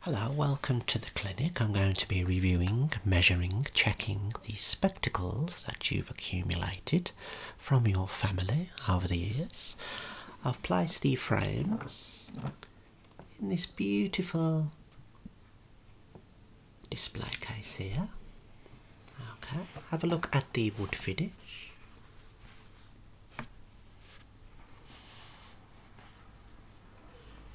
Hello, welcome to the clinic. I'm going to be reviewing, measuring, checking the spectacles that you've accumulated from your family over the years. I've placed the frames in this beautiful display case here. Okay, have a look at the wood finish.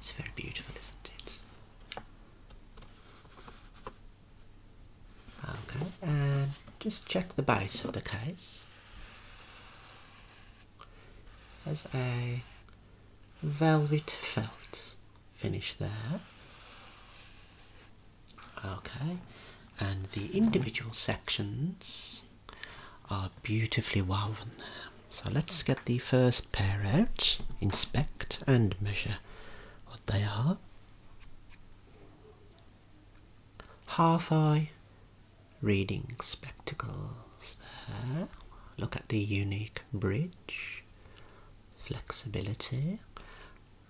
It's very beautiful, isn't it? Okay, and uh, just check the base of the case. As a velvet felt finish there. Okay, and the individual sections are beautifully woven there. So let's get the first pair out, inspect and measure what they are. Half eye reading spectacles there. Look at the unique bridge, flexibility,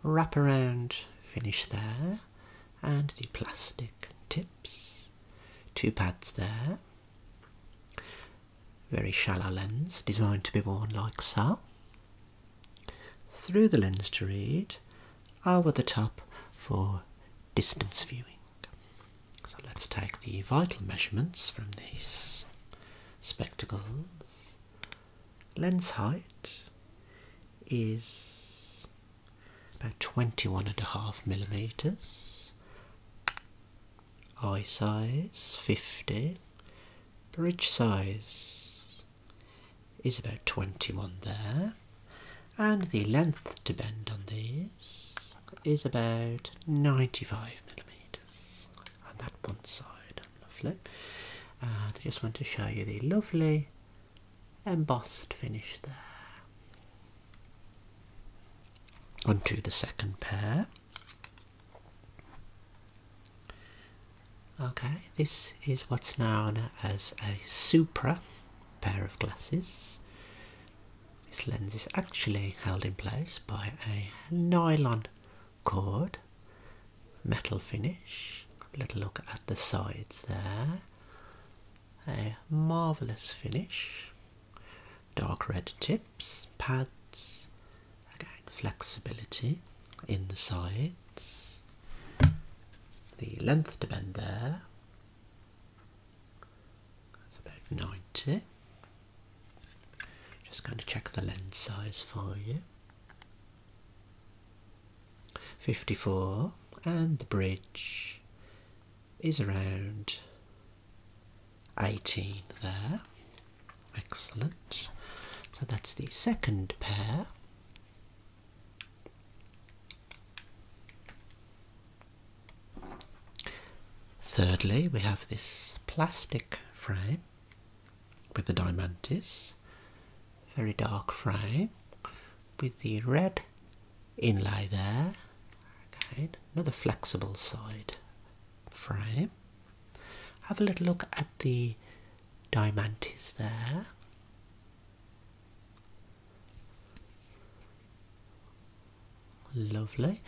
wrap around finish there, and the plastic tips. Two pads there, very shallow lens designed to be worn like so. Through the lens to read, over the top for distance viewing. So let's take the vital measurements from these spectacles. Lens height is about twenty-one and a half millimeters. Eye size 50. Bridge size is about 21 there. And the length to bend on this is about 95 millimeters on that one side. Lovely. And I just want to show you the lovely embossed finish there. Onto the second pair. Okay, this is what's known as a supra pair of glasses. This lens is actually held in place by a nylon cord, metal finish. Little look at the sides there a marvellous finish, dark red tips, pads, again flexibility in the sides, the length to bend there, that's about 90. Just going to check the lens size for you. 54 and the bridge is around 18 there. Excellent. So that's the second pair. Thirdly, we have this plastic frame with the Diamantis, very dark frame with the red inlay there. Okay, another flexible side frame. Have a little look at the diamantes there. Lovely.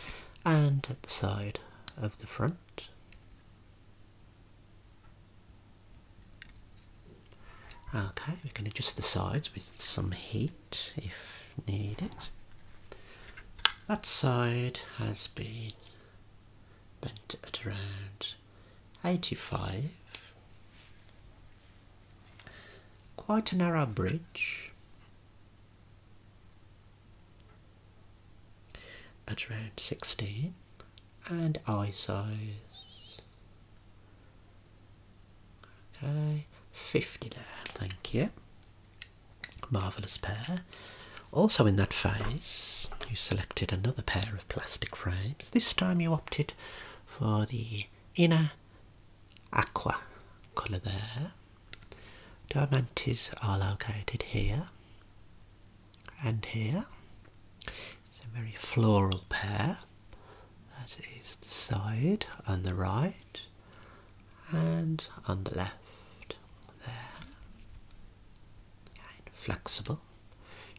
And at the side of the front. Okay, we can adjust the sides with some heat if needed. That side has been bent at around 85. Quite a narrow bridge. At around 16 and eye size Okay, 50 there, thank you. Marvellous pair. Also in that phase, you selected another pair of plastic frames. This time you opted for the inner aqua colour there. Diamantes are located here and here. It's a very floral pair. That is the side on the right and on the left there. And flexible.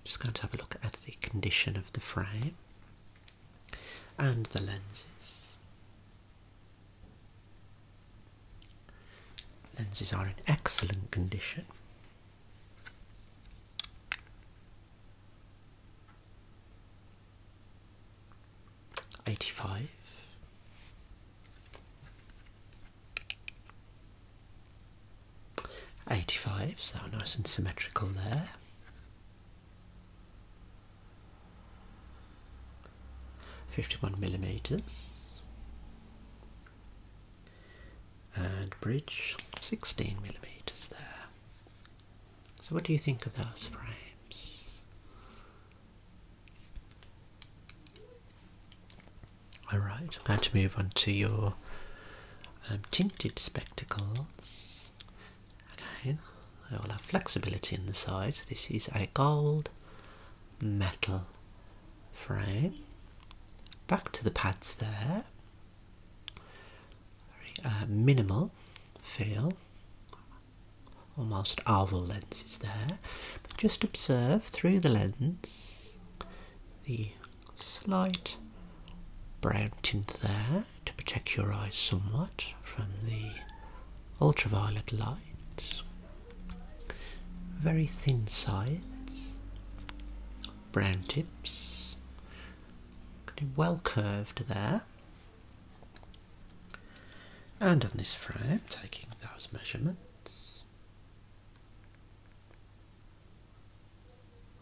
Just going to have a look at the condition of the frame and the lenses. Lenses are in excellent condition eighty five. so nice and symmetrical there. Fifty one millimeters and bridge sixteen millimeters there. So, what do you think of those frames? Alright, I'm going to move on to your um, tinted spectacles. Again, I will have flexibility in the sides. This is a gold metal frame. Back to the pads there. Very uh, minimal feel, almost oval lenses there, but just observe through the lens the slight brown tint there to protect your eyes somewhat from the ultraviolet light. Very thin sides, brown tips, well curved there. And on this frame, taking those measurements,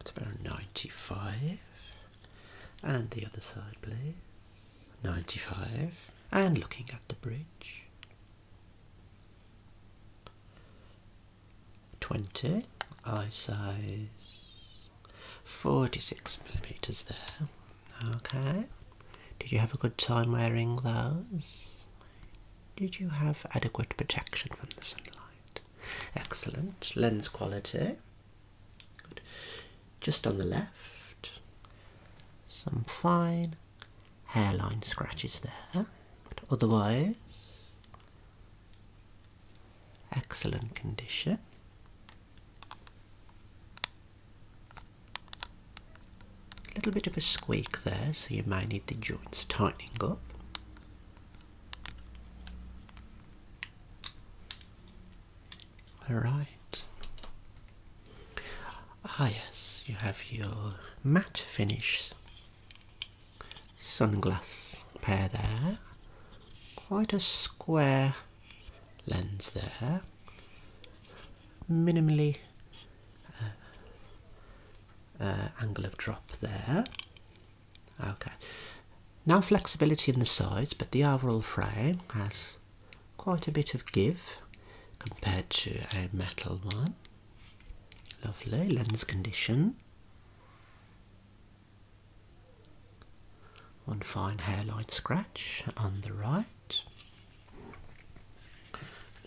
it's about 95. And the other side, please. 95. And looking at the bridge. 20 eye size 46 millimeters there okay did you have a good time wearing those did you have adequate protection from the sunlight excellent lens quality good just on the left some fine hairline scratches there but otherwise excellent condition. A little bit of a squeak there, so you may need the joints tightening up. Alright. Ah yes, you have your matte finish sunglass pair there. Quite a square lens there. Minimally uh, uh, angle of drop there. Okay. Now flexibility in the sides, but the overall frame has quite a bit of give compared to a metal one. Lovely lens condition. One fine hairline scratch on the right.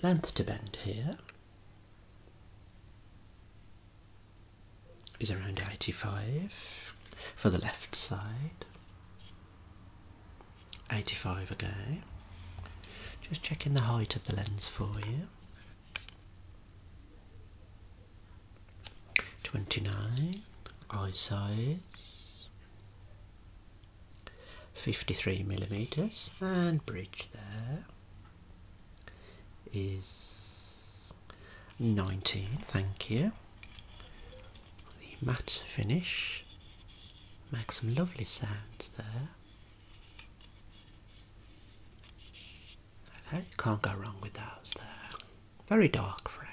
Length to bend here is around 85 for the left side. 85 again. Just checking the height of the lens for you. 29 eye size 53 millimeters and bridge there is 19 thank you the matte finish makes some lovely sounds there Okay, you can't go wrong with those there. Very dark frame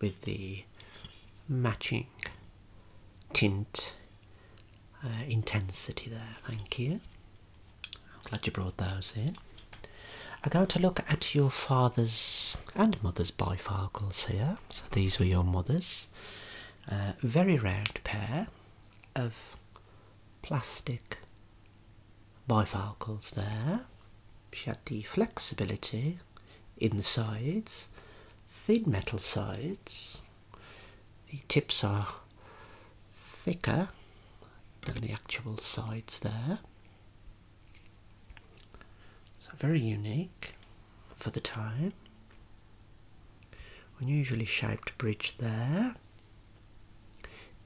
with the matching tint uh, intensity there. Thank you. I'm glad you brought those in. I'm going to look at your father's and mother's bifocals here. So these were your mother's. Uh, very round pair of plastic bifalcals there. She had the flexibility in the sides, thin metal sides. The tips are thicker than the actual sides there. So very unique for the time. Unusually shaped bridge there.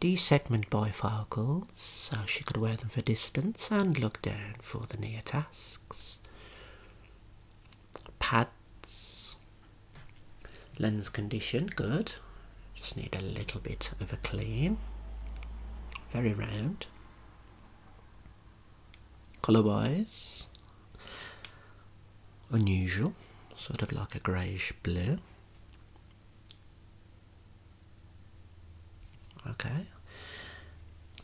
D-segment bifocals, so she could wear them for distance and look down for the near tasks. Pads. Lens condition, good. Just need a little bit of a clean. Very round. Colour wise, unusual, sort of like a greyish blue. Okay,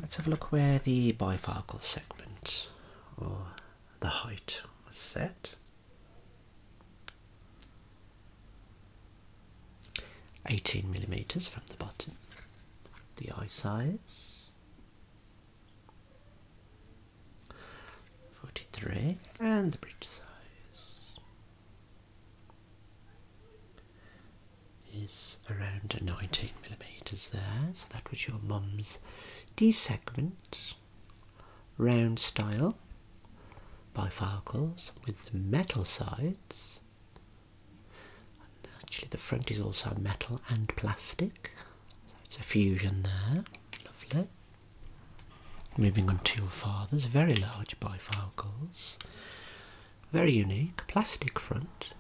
let's have a look where the bifocal segment or the height was set. 18 millimeters from the bottom, the eye size, 43 and the bridge size is around 19 millimeters there so that was your mum's d segment round style bifocals with metal sides actually the front is also metal and plastic so it's a fusion there lovely Moving on to your father's very large bifocals, very unique, plastic front,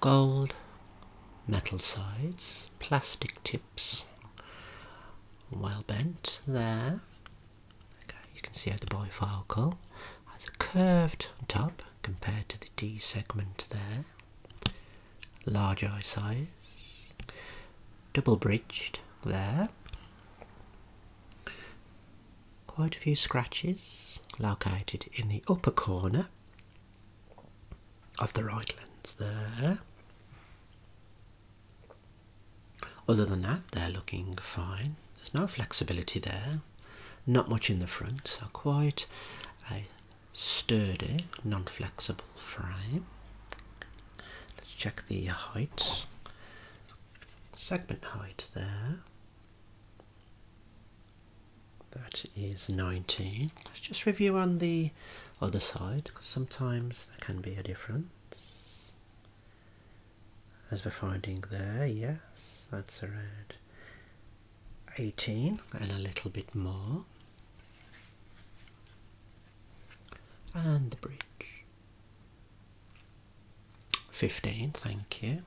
gold metal sides, plastic tips, well bent there. Okay, you can see how the bifocal has a curved top compared to the D segment there large eye size, double bridged there. Quite a few scratches located in the upper corner of the right lens there. Other than that, they're looking fine. There's no flexibility there, not much in the front, so quite sturdy, non flexible frame. Let's check the height. Segment height there. That is 19. Let's just review on the other side sometimes there can be a difference. As we're finding there, yes, that's around 18 and a little bit more and the bridge. 15, thank you.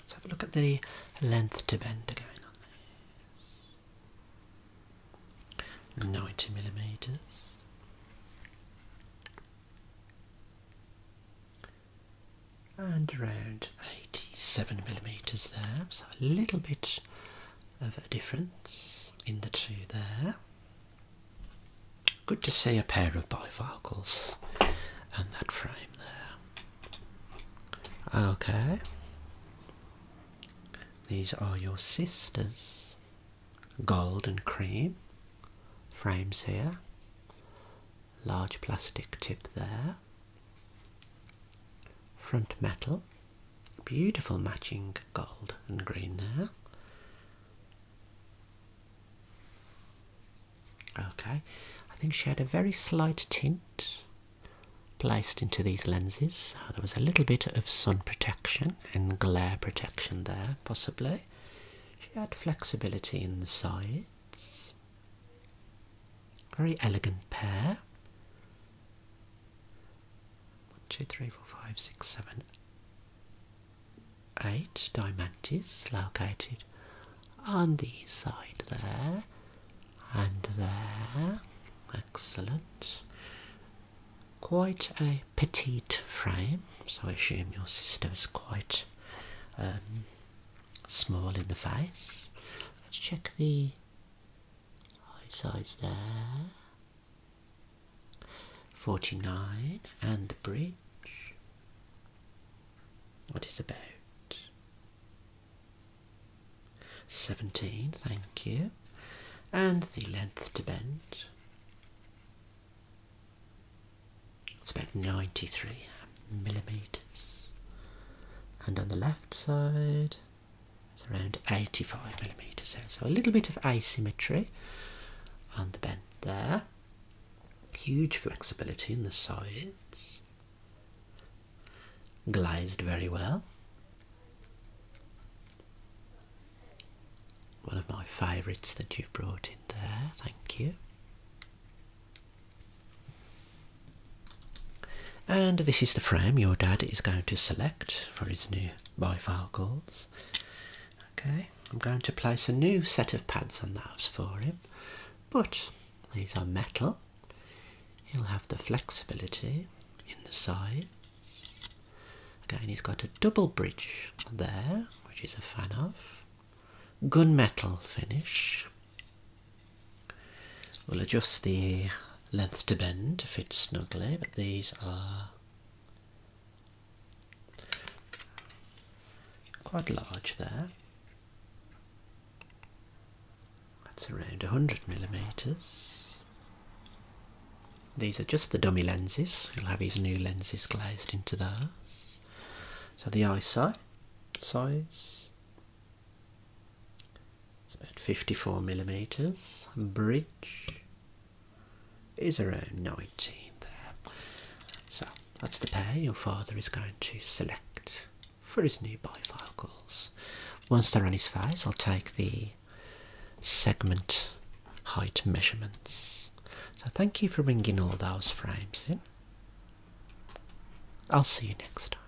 Let's have a look at the length to bend again 90 millimetres. And around 87 millimetres there, so a little bit of a difference in the two there. Good to see a pair of bifocals and that frame there. Okay. These are your sisters. Gold and cream. Frames here. Large plastic tip there. Front metal Beautiful matching gold and green there. Okay, I think she had a very slight tint placed into these lenses, uh, there was a little bit of sun protection and glare protection there, possibly. She had flexibility in the sides. Very elegant pair. One, two, three, four, five, six, seven, eight diamonds located on the side there and there. Excellent. Quite a petite frame, so I assume your sister is quite um, small in the face. Let's check the Highside's there. 49 and the bridge. What is about? 17, thank you. And the length to bend. It's about 93 millimetres. And on the left side, it's around 85 millimeters, so, so a little bit of asymmetry on the bend there. Huge flexibility in the sides, glazed very well. One of my favourites that you've brought in there, thank you. And this is the frame your dad is going to select for his new bifocals. Okay, I'm going to place a new set of pads on those for him, but these are metal. He'll have the flexibility in the sides. Again, he's got a double bridge there, which is a fan of. Gunmetal finish. We'll adjust the length to bend to fit snugly, but these are quite large there. That's around 100 millimeters. These are just the dummy lenses. He'll have these new lenses glazed into those. So the eyesight size it's about 54 millimeters, bridge is around 19 there. So that's the pair your father is going to select for his new bifocals. Once they're on his face, I'll take the segment height measurements. So thank you for bringing all those frames in. I'll see you next time.